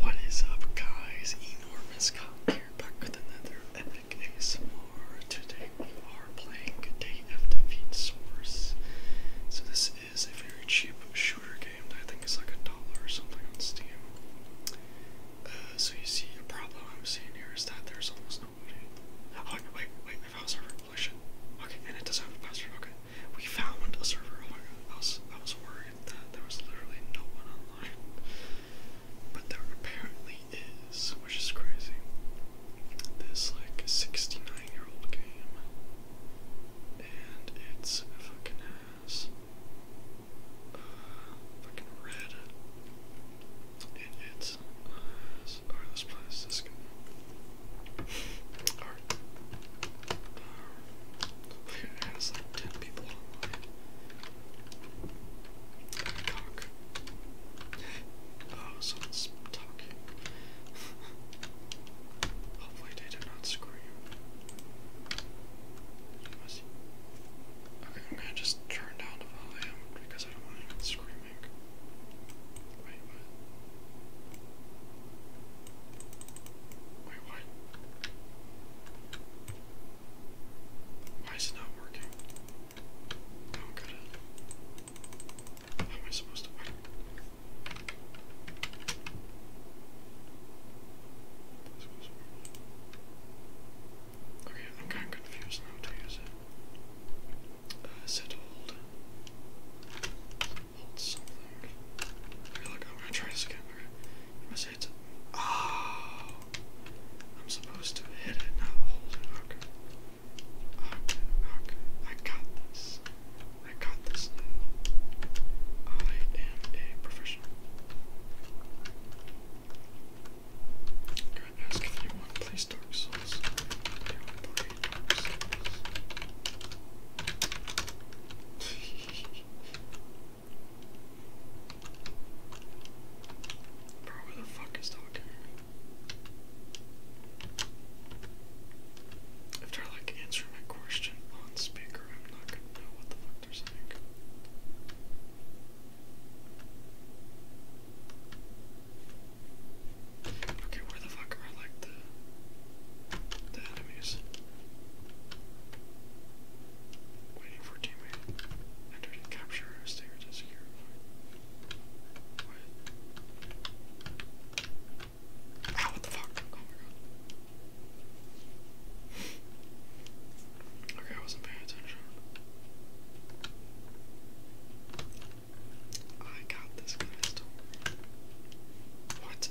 What is up guys, Enormous Cop here, back with another epic ASMR. Today we are playing Day of Defeat Source. So this is a very cheap shooter game that I think is like a dollar or something on Steam. Uh, so you see, a problem I'm seeing here is that there's almost nobody. Oh, wait, wait, I found server. Holy oh, Okay, and it doesn't have a password. Okay, we found a server. Oh my god, I was, I was worried there was literally no one online. But there apparently is, which is crazy. This like 69 year old game. And it's fucking has fucking red. And it's uh, or let's play card. like 10 people online. Cock. Oh, someone's talking. Hopefully they did not scream. Okay, I'm gonna just turn down the volume because I don't want anyone screaming. Wait, what? Wait, what? Why is it not working? No, oh, I'm good at How am I supposed to win? Okay, I'm kind confused now to use it. Uh, Hold Here, look, I'm gonna try this again. Okay. I'm gonna say it's. Oh! I'm supposed to hit it, not hold it. Okay. Okay, okay. I got this. I got this now. I am a professional. I'm gonna ask if anyone plays Dark Souls. Anyone play Dark Souls? Bro, where the fuck is Doc here? If they're like answering my question on speaker, I'm not gonna know what the fuck they're saying. Okay, where the fuck are like the enemies? Waiting for teammate. Entered capture a stinger to ah, What? the fuck? Oh okay, I wasn't paying attention. I got this guy's What?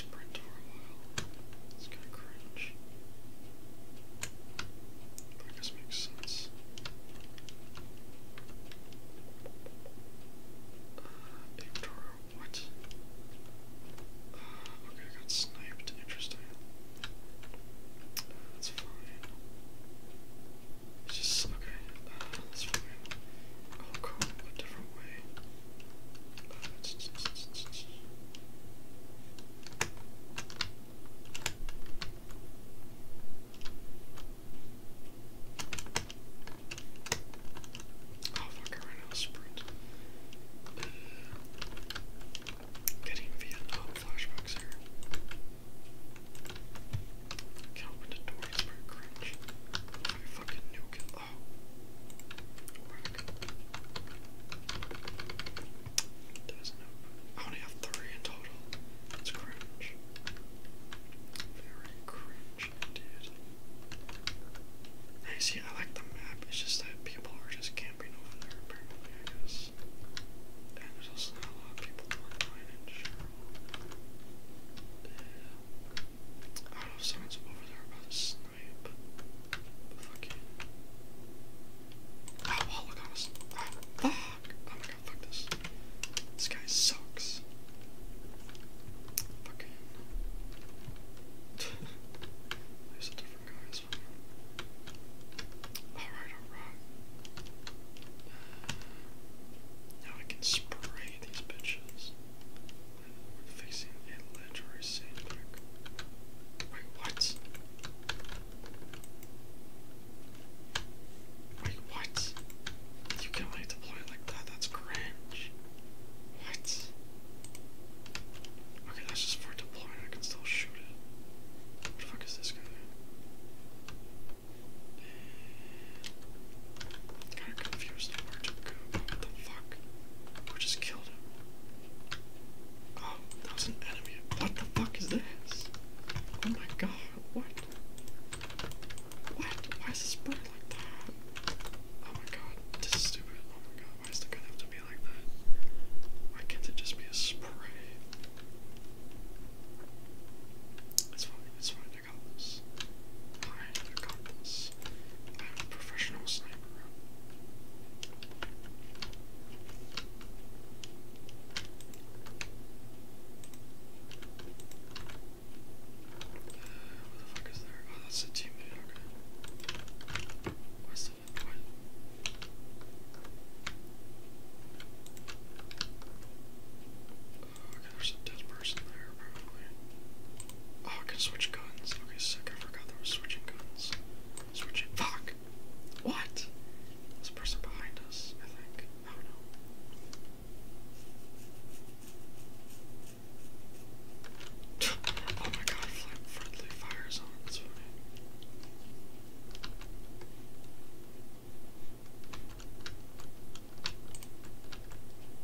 sprint for a while. It's kind of cringe. But I makes sense. Uh, what? Uh, okay, I got sniped. Interesting. that's fine. It's just, okay, uh, that's fine. i a different way. Oh fuck, I ran sprint. Getting Vietnam flashbacks here. Can't open cringe. I fucking nuke Oh. does I only have three in total. It's cringe. Very cringe indeed. I see, I like the map, it's just that people are just camping over there apparently, I guess. And there's also not a lot of people online in general. I don't know if someone's over there about to snipe. Fuck Oh, look on us. fuck. Oh my god, fuck this. This guy sucks. Fucking. There's a different guy Alright, alright. now I can spray these bitches. Fixing a legendary Saint Wait, what? Wait, what? You can only deploy like that, that's cringe. What? Okay, that's just for deploying, I can still shoot it. What the fuck is this guy? I'm confused What the fuck? We just killed him. Oh, that was an enemy. What the fuck is this? Oh my god, what? What? Why is this bird like that? Oh my god, this is stupid. Oh my god, why does the gun have to be like that? Why can't it just be a spray? It's fine, it's fine an accomplice. I am an I am a professional sniper. what the fuck is there? Oh, that's a team lead, okay. What's the Oh, okay, there's a dead person there, probably. Oh, I can switch guns. Okay, sick, I forgot there was switching guns. Switching- fuck! What? There's a person behind us, I think. I don't know. oh my god, friendly fire zone, that's funny.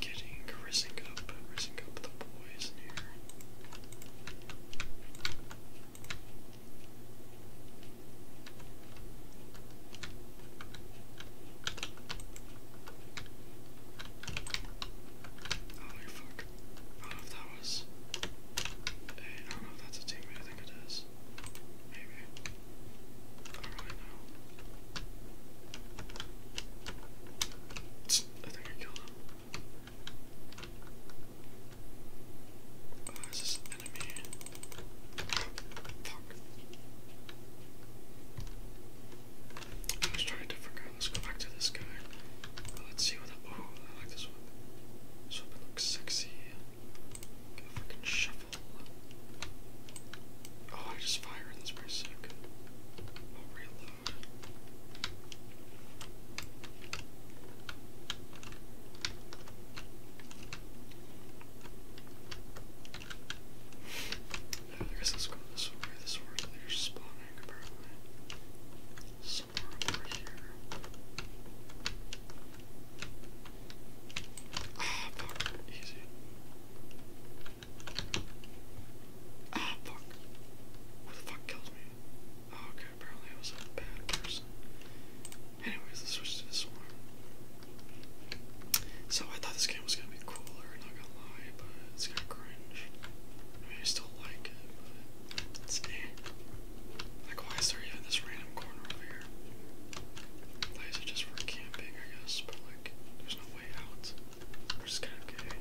getting risen up, risen up the boys in here. Oh, fuck. I don't know if that was. Hey, I don't know if that's a teammate. I think it is. Maybe. I think I killed him. Oh, is this an enemy? Fuck. Let's try a different guy. Let's go back to this guy. Let's see what Oh, I like this weapon. This weapon looks sexy. Got a freaking shovel. Oh, I just fire this i guess let's go this way. This way they're spawning, apparently. Somewhere over here. Ah, fuck. Easy. Ah, fuck. What the fuck killed me? Oh, okay, apparently I was a bad person. Anyways, let's switch to this one. So I thought this game was gonna be cooler, not gonna lie, but it's kinda cringe. I I still like it, it's eh. Like, why is there even this random corner over here? These are just for camping, I guess, but like, there's no way out. We're just gonna okay.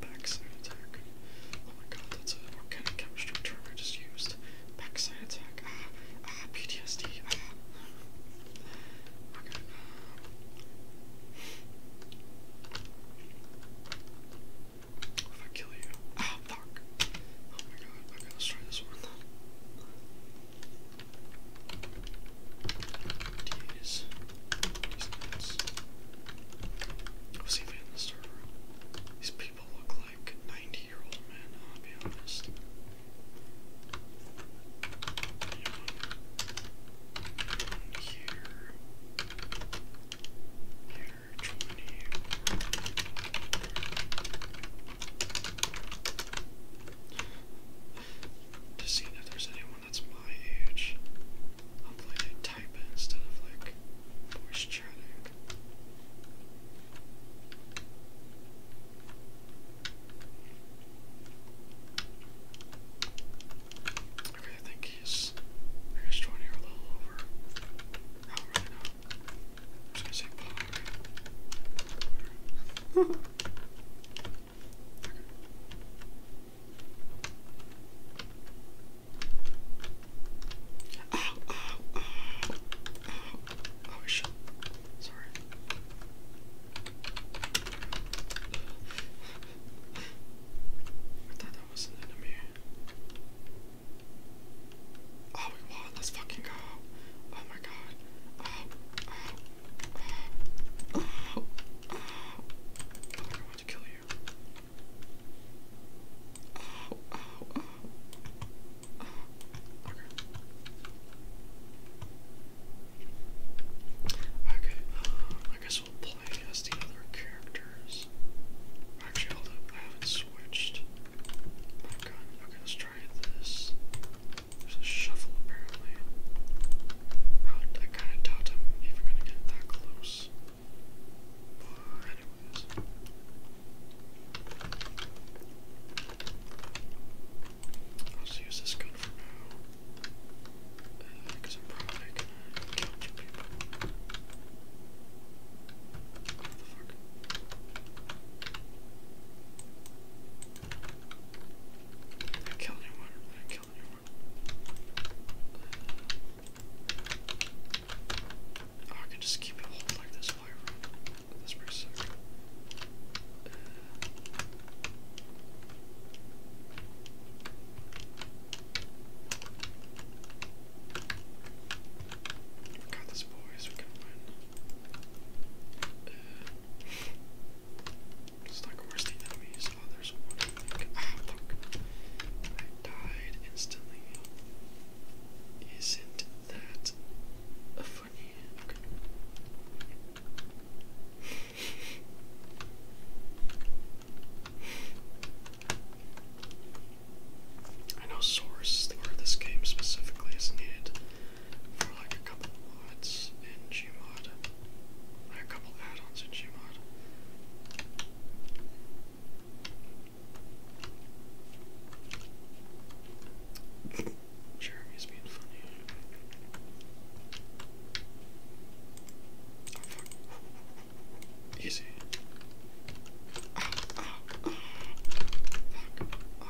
backside attack. Oh my god, that's an organic chemistry term I just used. Backside attack. Ah, ah, PTSD. Ah. Um. if I kill you? Ah, fuck. Oh my god, okay, let's try this one. These, these nuts. We'll see if I in the server. These people look like 90 year old men, I'll be honest. Anyone here. Here, 20. Or, or, to see if there's anyone that's my age. I'll play type instead of like voice chatting. Okay, I think he's, I think a little over. I don't really know. I say power? Power. okay. Oh, oh, oh, oh, oh, shit. Sorry. I thought that was an enemy. All let's fucking go. Oh my god. Oh, oh, oh, I'm to kill you. oh, oh. oh. Okay. Okay, I guess we'll play as the other characters. Actually, hold up, I haven't switched. Okay, okay, let's try this. There's a shuffle apparently. I kinda doubt I'm even gonna get that close. anyways. I'll just use this gun for now. Because uh, I'm probably gonna people. I killed anyone. I killed anyone. Oh, I can just keep it like this forever. That's pretty we got this, boys. We can win. It's like where's enemies? Oh, there's one. Ah, I died instantly. Isn't that a funny? I know source for this game specifically is needed for like a couple mods in Gmod, a couple add-ons in Gmod. Jeremy's being funny. Easy. Ah, ah, ah.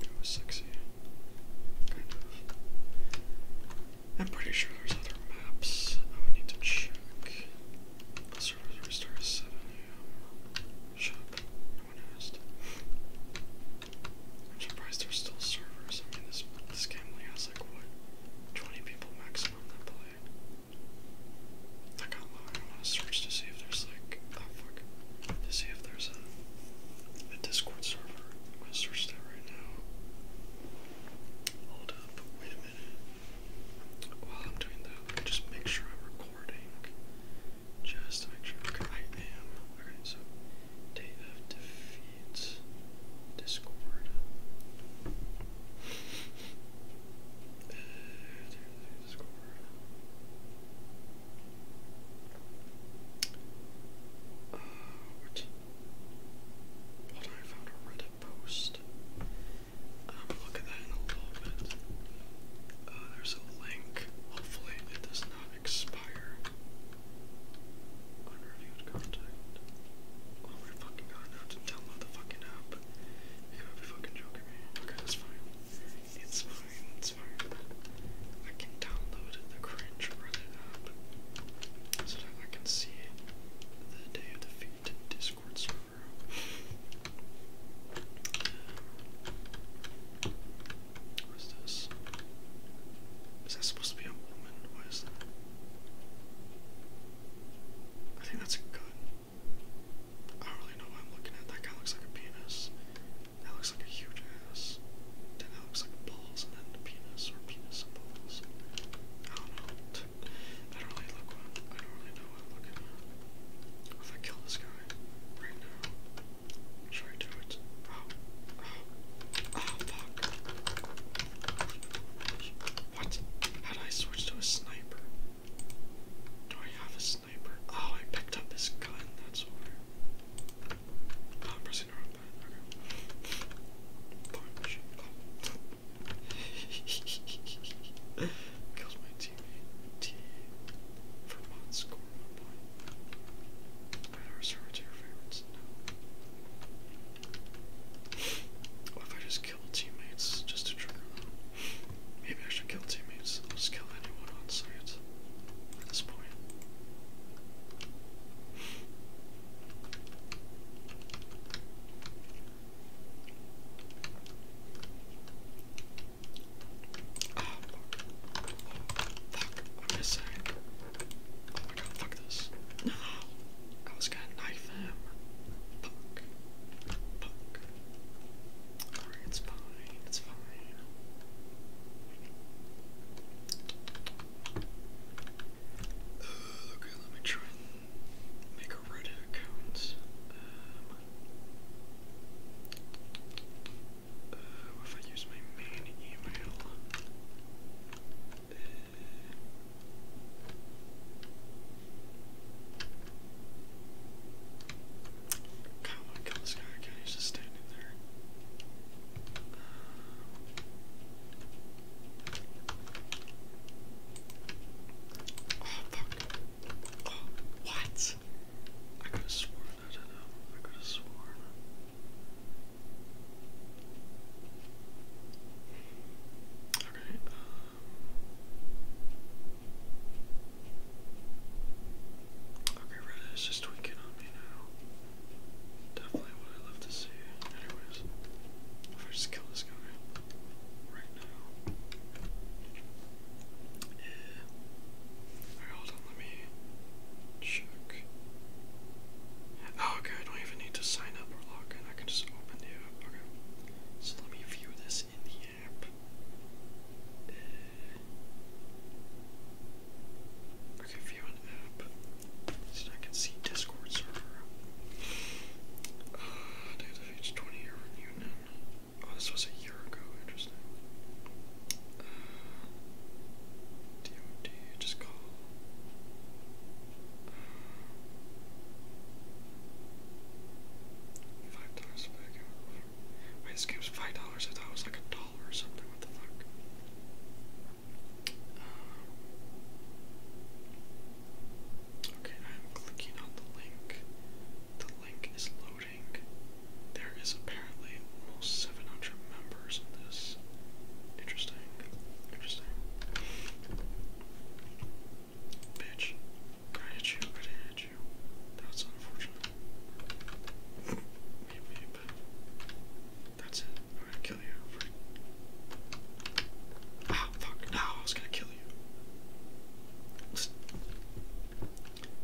It was sexy. I'm pretty sure there's other maps. I would need to check. The servers restart 7 a.m. Shut up. No one asked. I'm surprised there's still servers. I mean, this, this game only has like what? 20 people maximum that play. That got I am going to search to see if there's like, oh fuck, to see if there's a, a Discord server. I'm gonna search that right now. Hold up, wait a minute. While I'm doing that, let me just make sure I'm recording. Just make sure I am. Okay, so Day of Defeat Discord. Uh, Discord. Uh, what? I found a Reddit post. Um, look at that in a little uh, there's a link. Hopefully, it does not expire. Unreviewed contact. Oh my fucking god, now to download the app. You gotta be fucking joking me. Okay, that's fine. It's fine, it's fine. I can download the cringe, run it up, so that I can see the day of defeat Discord server. Um, this? Is that supposed to be a woman? What is that? I think that's a gun. I don't really know what I'm looking at. That guy looks like a penis. That looks like a huge ass. Then that looks like balls and then the penis or penis and balls. I don't know. I don't really look I do not really know what I'm looking at. If I kill this guy right now, should I do it? Oh, oh, oh fuck. What? How do I switch to a sniper? Do I have a Oh, I picked up this gun. That's why. Oh, I'm pressing the Punch. Oh. my teammate. T. Vermont score one What if I just kill teammates just to trigger Maybe I should kill teammates. I'll just kill anyone on site at this point. Ah, fuck. What did I say? Oh my god, fuck this. No! I was gonna knife him. Fuck. Fuck it's fine, it's fine. okay, let me try and make a Reddit account. Um, uh, if I use my main email? Uh, Kinda wanna kill this guy he's just standing there. Oh fuck. Oh, what? I could have sworn I don't know. I could have sworn. Okay, um, Okay, Reddit is just tweaking on me now. Definitely what I love to see. Anyways, if I just kill this guy right now. Yeah. Alright, hold on, let me check. Oh, okay, I don't even need to sign up or log in. I can just open the app. Okay. So let me view this in the uh, okay, view an app. So I can see Discord server. Uh, there's a page 20 year reunion. Oh, this was a year ago, interesting. DOD, uh, just call. Uh, five dollars back Wait, this game was five dollars. I thought it was like a dollar or something. What the fuck? Uh, okay, I'm clicking on the link. The link is loading. There is apparently almost 700 members this. Interesting. Interesting. Bitch, I hit you? Could that's unfortunate. Weep, weep. That's it. I'm gonna kill you. For... Ah, fuck. No, I was gonna kill you.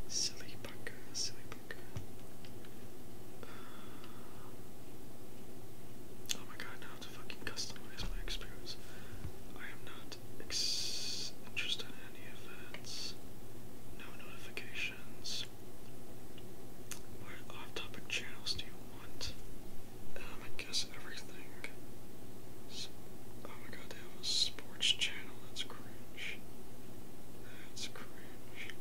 Silly bucka, silly bucka. Oh my god, now to fucking customize my experience. I am not not interested in any events. No notifications. What off-topic channels do you want? Um, I guess everything. Oh my god, they have a sports channel. That's cringe. That's cringe.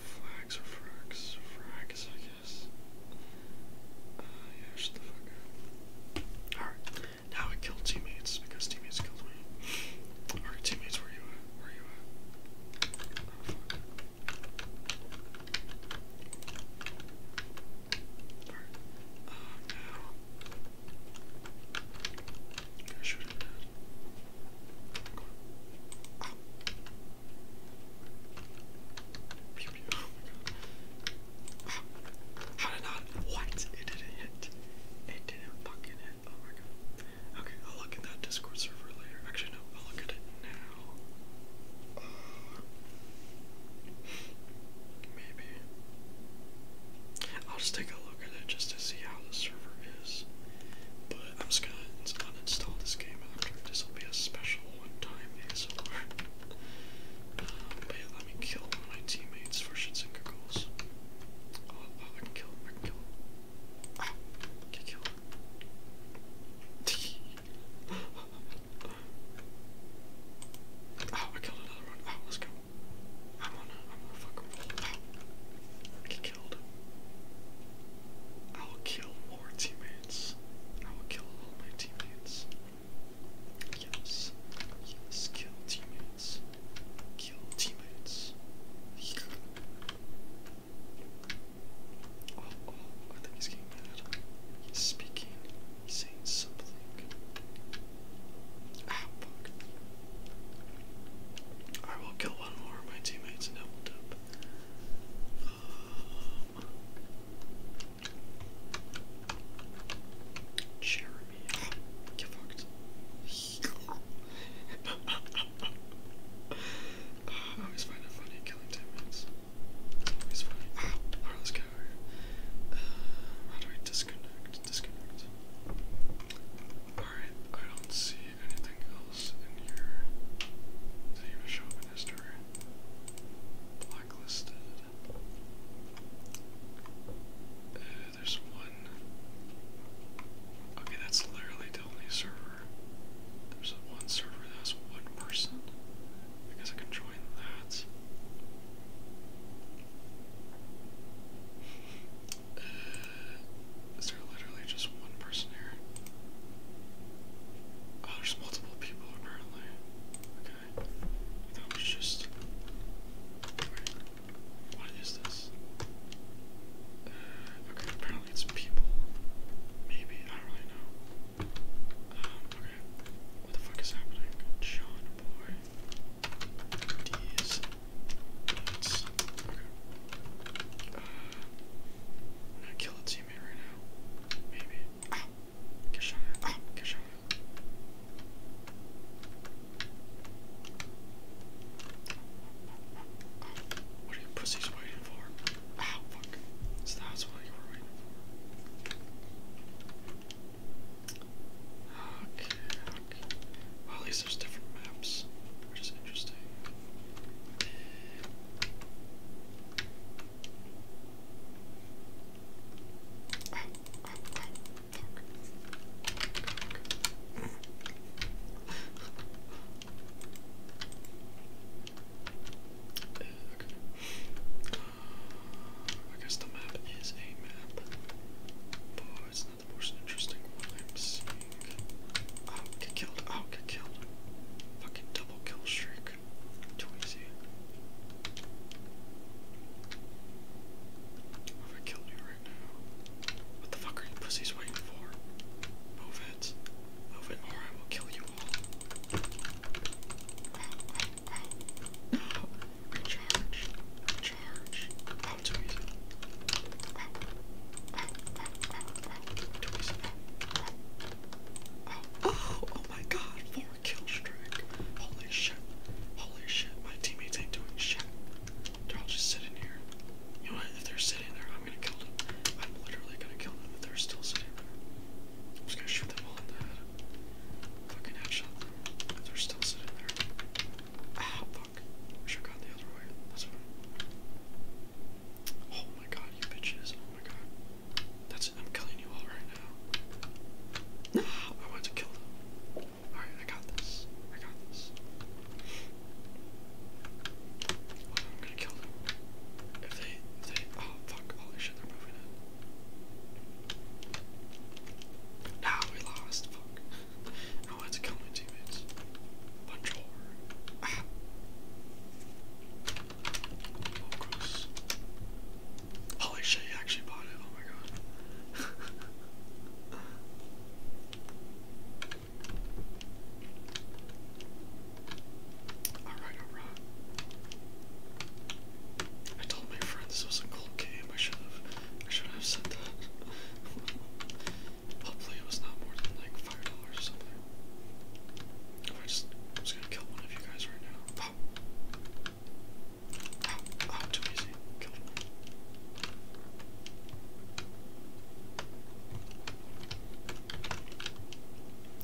Flags or frags? Frags, I guess. Uh, yeah, shut Alright. Now I killed teammates because teammates killed me. Our teammates, where you at? Where you at? Oh, fuck. Alright. Um, now. I'm gonna shoot him dead. Come on. Ow. Pew pew. Oh my god. How did not? What? It didn't hit. It didn't fucking hit. Oh my god. Okay, I'll look at that Discord server later. Actually, no, I'll look at it now. maybe. I'll just take a look at it just to see how the server is. But I'm just gonna uninstall this game after. this will be a special one time ASMR. Um, let me kill my teammates for shits and oh, oh, I can him, I can him. Ah, I oh, I killed another one. Oh, let's go. I'm on a, I'm on a fucking get killed. I'll kill more teammates. I will kill all my teammates. Yes. Yes. Kill teammates. Kill teammates. Oh, oh, I think he's getting mad. He's speaking. He's saying something. Ah, fuck. I will kill one more of my teammates and double up. Um, Jeremy. Get fucked. I always find it funny killing teammates. Always funny. Alright, let how do I disconnect? Disconnect. Alright, I don't see anything else in here. Does it show up in history? Blacklisted. Uh, there's one. Okay, that's literally only server. There's one server that has one person. I I can join that. Uh, there literally just one person here? Oh, there's multiple people apparently. Okay. That was just. what is this? okay, apparently it's people. Maybe, I don't really know. Um, okay. What the fuck is happening? John Boy. These. Okay. Uh, kill a teammate right now. Maybe. Keshawn. Ah, what are you pussies waiting for? Oh, fuck. So that's what you were waiting for. Okay, at least there's different maps, which is interesting. I guess the map is a map, but it's not the most interesting one Oh, get killed! Oh, get killed! Fucking double kill streak. Too easy. If I killed you right now, what the fuck are you pussies waiting for? Move it, move it, or I will kill you all. Ow, ow, ow. No, recharge, recharge. Ow, too easy. Ow, ow, ow, ow, ow. Too easy. Ow, ow, ow. Oh, oh my god, four kill Holy shit. Holy shit. My teammates ain't doing shit. They're all just sitting here. If they're sitting there, I'm gonna kill them. I'm literally gonna kill them if they're still sitting there. I'm just gonna shoot them all in the head. Fucking headshot they're still sitting there. Ah, fuck. I the other way. Oh my god, you bitches. Oh my god. That's it. I'm killing you all right now. No, I want to kill them. Alright, I got this. I got this. I'm gonna kill them. If they, they, oh fuck, holy shit, they're moving in. Now we lost, fuck. I wanted to kill my teammates. Bunch of Ah. Oh, Holy shit, you actually bought it. Oh my god. alright, alright. I told my friend this was a cold game. I should have I should have said that. Hopefully it was not more than like five dollars or something. If I just I'm just gonna kill one of you guys right now. Oh,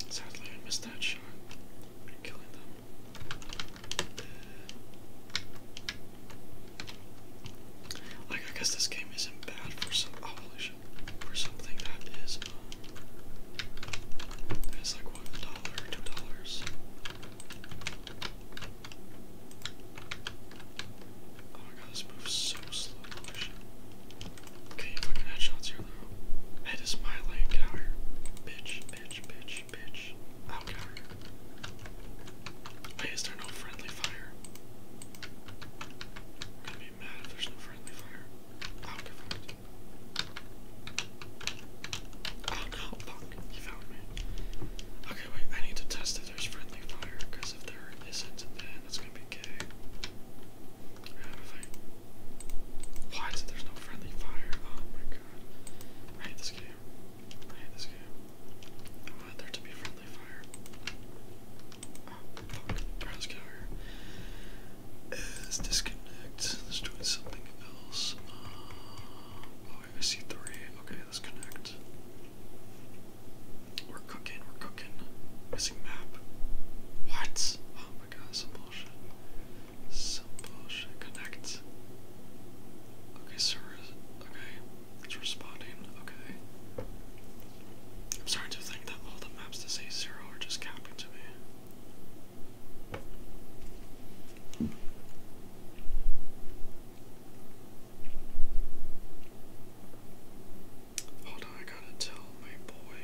Sadly, I missed that shot. Killing them. Like, I guess this game isn't bad for some. Oh, For something that is. Um, like $1, $2. Oh my god, this moves so slow Okay, you fucking headshots here though. Head is my get out here. Bitch, bitch, bitch, bitch. out here. Wait, is there no friendly fire? I'm gonna be mad if there's no friendly fire. I'll Oh no, fuck, he found me. Okay, wait, I need to test if there's friendly fire, because if there isn't, then it's gonna be gay. Why is it there's no friendly fire? Oh my god. I hate this game. I hate this game. I want there to be friendly fire. Oh, fuck. Alright, let is disconnect. Let's try something else. Uh, oh, I see three. Okay, let's connect. We're cooking, we're cooking. Missing map. What? Oh my god, some bullshit. Some bullshit. Connect. Okay, sir. Okay, it's responding. Okay. I'm starting to think that all the maps to say zero are just capping to me. Hold on, I gotta tell my boy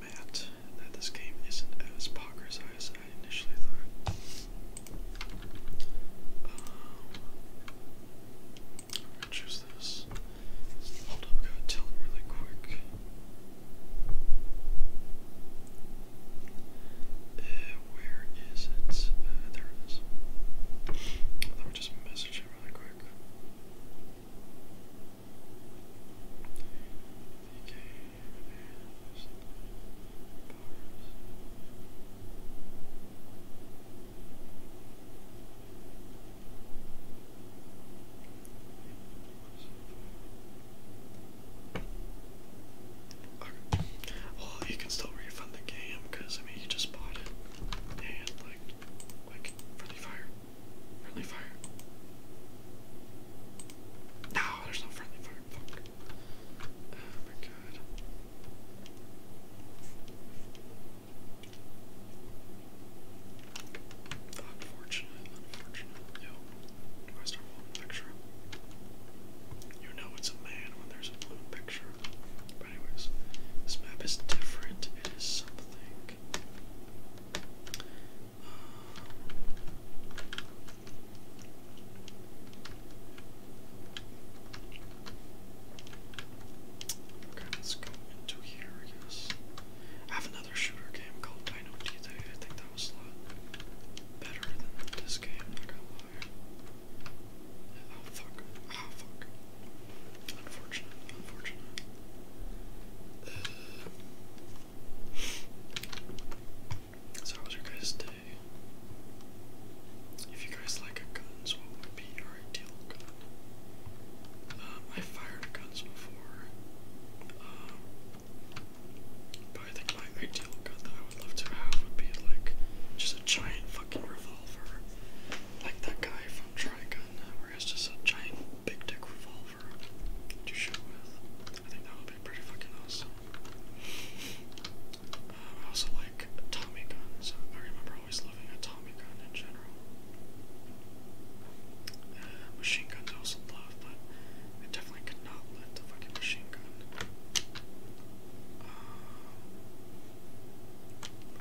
Matt that this game isn't as poggers as I initially thought. Um, choose this. Hold up, gotta tell him really quick. Uh, where is it? there it is. Let me just message him really quick. Well, you can still refund the game because I mean you just bought it, and like, like friendly fire, friendly fire. No, there's no friendly fire. Fuck. Oh my god. Unfortunate, unfortunate. Yo, Where's our blue picture? You know it's a man when there's a blue picture. But anyways, this map is different. It is something. Um, okay, let's go into here, I guess. I have another shooter game called Dino D I think that better than this game, I'm not gonna lie. Oh fuck, oh fuck. Unfortunate, unfortunate. so how was your guys' day? If you guys like guns, what would be your ideal gun? Um, I fired guns before. Um, but I think my ideal gun that I would love to have would be like just a giant fucking revolver. Like that guy from Trigun, uh, where he has just a giant big dick revolver to shoot with. I think that would be pretty fucking awesome. Um, I also like Tommy guns. I remember always loving a Tommy gun in general. Uh, machine guns I also love, but I definitely could not let the fucking machine gun. Um,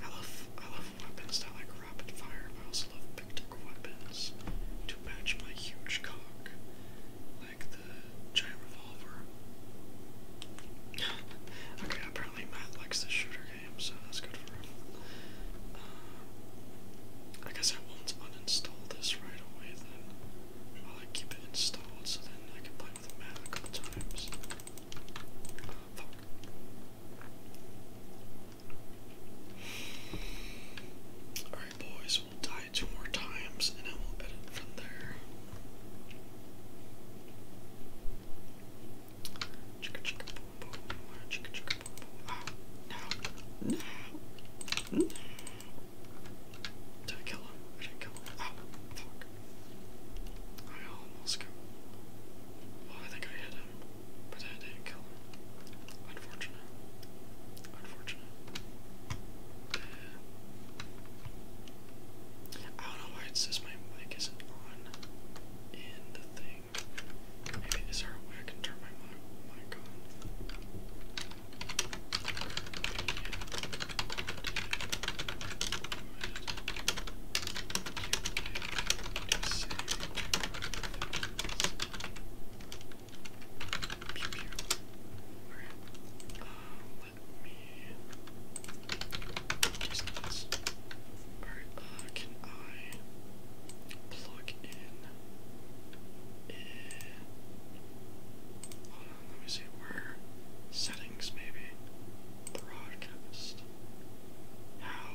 I love I love weapons that like rapid fire, I also love big dick weapons to match my huge cock. Like the giant revolver. okay, apparently Matt likes the shooter game, so that's good for him. Uh, I guess I won't uninstall this right away then. While I keep it installed so then I can play the map a couple times. Alright boys, we'll die two more times and then we'll edit from there. Chicka chicka boom boom, chicka chicka Oh, no. No. Did I kill him? I did kill him. Oh, fuck. I almost killed him. Well, I think I hit him, but I didn't kill him. Unfortunate. Unfortunate. I don't know why it says my mic isn't on in the thing is there a way I can turn my mic on? Pew pew. let me just Alright, uh, can I plug in let me see where. Settings, maybe. Broadcast. How.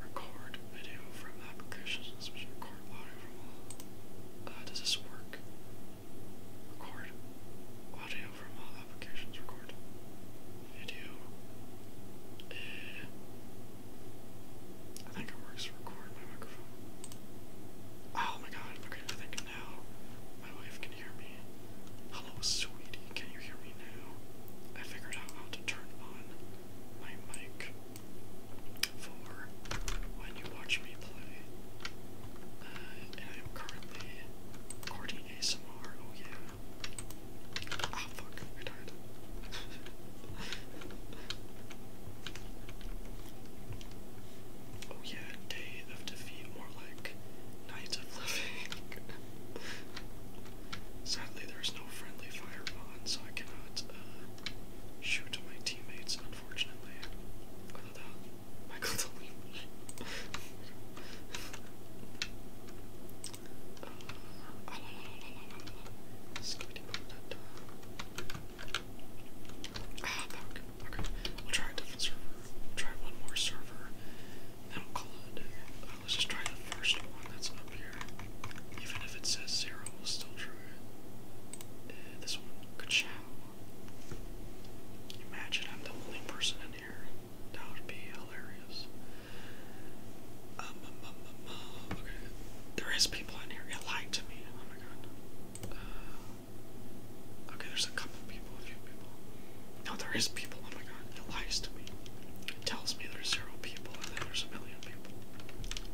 Record video from applications, which record audio from all. Uh, does this work? Record audio from all applications, record video. Uh, I think it works to record my microphone. Oh my god, okay, I think now my wife can hear me. Hello, sweetie, can you hear me now? I figured out how to turn on my mic for when you watch me play. Uh, and I am currently recording ASMR, oh yeah. I died. oh yeah, day of defeat, more like night of living. Sadly, there's no friendly fire on, so I cannot shoot my teammates, unfortunately. Michael Ah, fuck. Okay, we'll try a different server. try one more server, and then let's just try the first one that's up here. Even if it says zero, we'll still try it. this one, ka-chow. Imagine I'm the only person in here. That would be hilarious. Um, um, um, um, people in here. It lied to me. Oh my god. Uh, okay, there's a couple people, a few people. No, there is people. Oh my god. It lies to me. It tells me there's zero people and then there's a million people.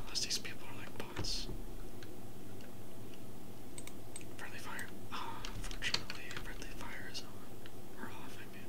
Unless these people are like bots. Friendly fire. Ah, oh, fortunately, friendly fire is on. Or off, I mean.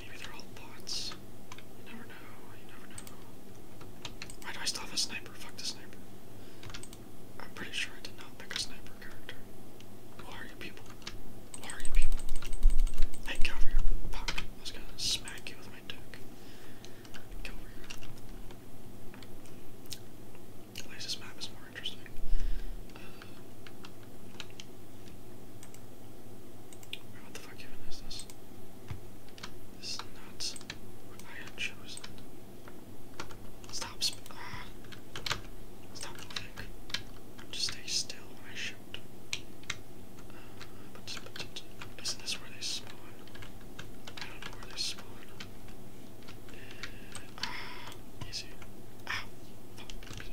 Maybe they're all bots. You never know, you never know. Why do I still have a sniper? Fuck the sniper. I'm pretty sure I did not pick a sniper character. Who are you people? Who are you people? Hey, get Fuck. I was gonna smack you with my dick. Get At least this map is more interesting. Uh, what the fuck even is this? This is not I had chosen. Stop sp ah. Stop moving. Just stay still I shoot. Uh, but, isn't this where they spawn? I don't know where they spawn. Uh, ah, easy. Ah,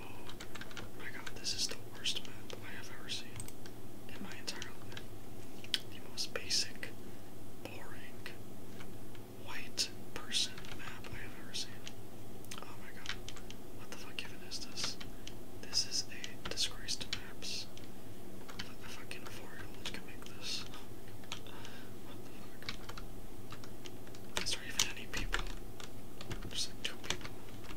Oh my god, this is the worst map I have ever seen in my entire life. The most basic, boring, white person map I have ever seen. Oh my god. What the fuck even is this? This is a disgrace to maps. A fucking make this. Oh is there even any people? There's like two people.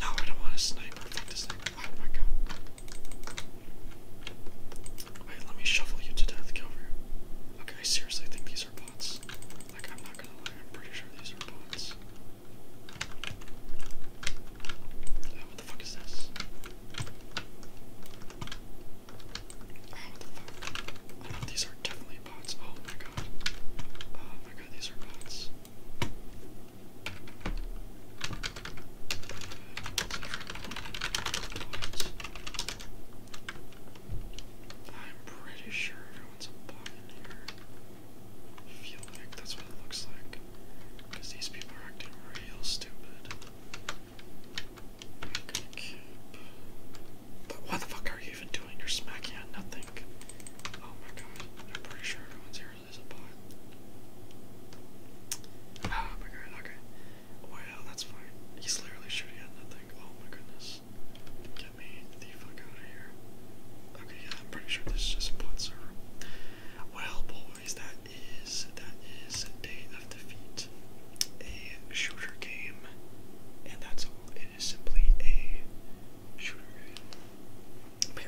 No, I don't want a sniper. Fuck this thing. Wait, let me shovel you to death. Get over here. Okay, I seriously think these are bots. Like, I'm not gonna lie, I'm pretty sure these are bots. what the fuck is this? Oh no, these are definitely bots. Oh my god. Oh my god, these are bots. I'm pretty sure everyone's a bot in here. feel like that's what it looks like. Because these people are acting real stupid going But why the fuck are you even doing? You're smacking at nothing. Oh my god. I'm pretty sure everyone's here is a bot. Ah, oh my god, okay. Wow, that's fine. He's literally shooting at nothing. Oh my goodness. Get me the fuck out of here. Okay, yeah, I'm pretty sure this is just a bot server. Well, boys, that is that is a day a shooter game, and that's all. It is simply a shooter game.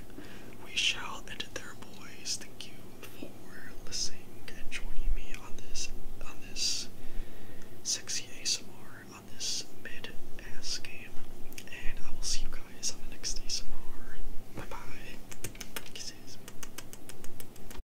we shall end it there, boys. Thank you for listening and joining me on this on this sexy ASMR on this mid-ass game, and I will see you guys on the next ASMR. Bye bye. Kisses.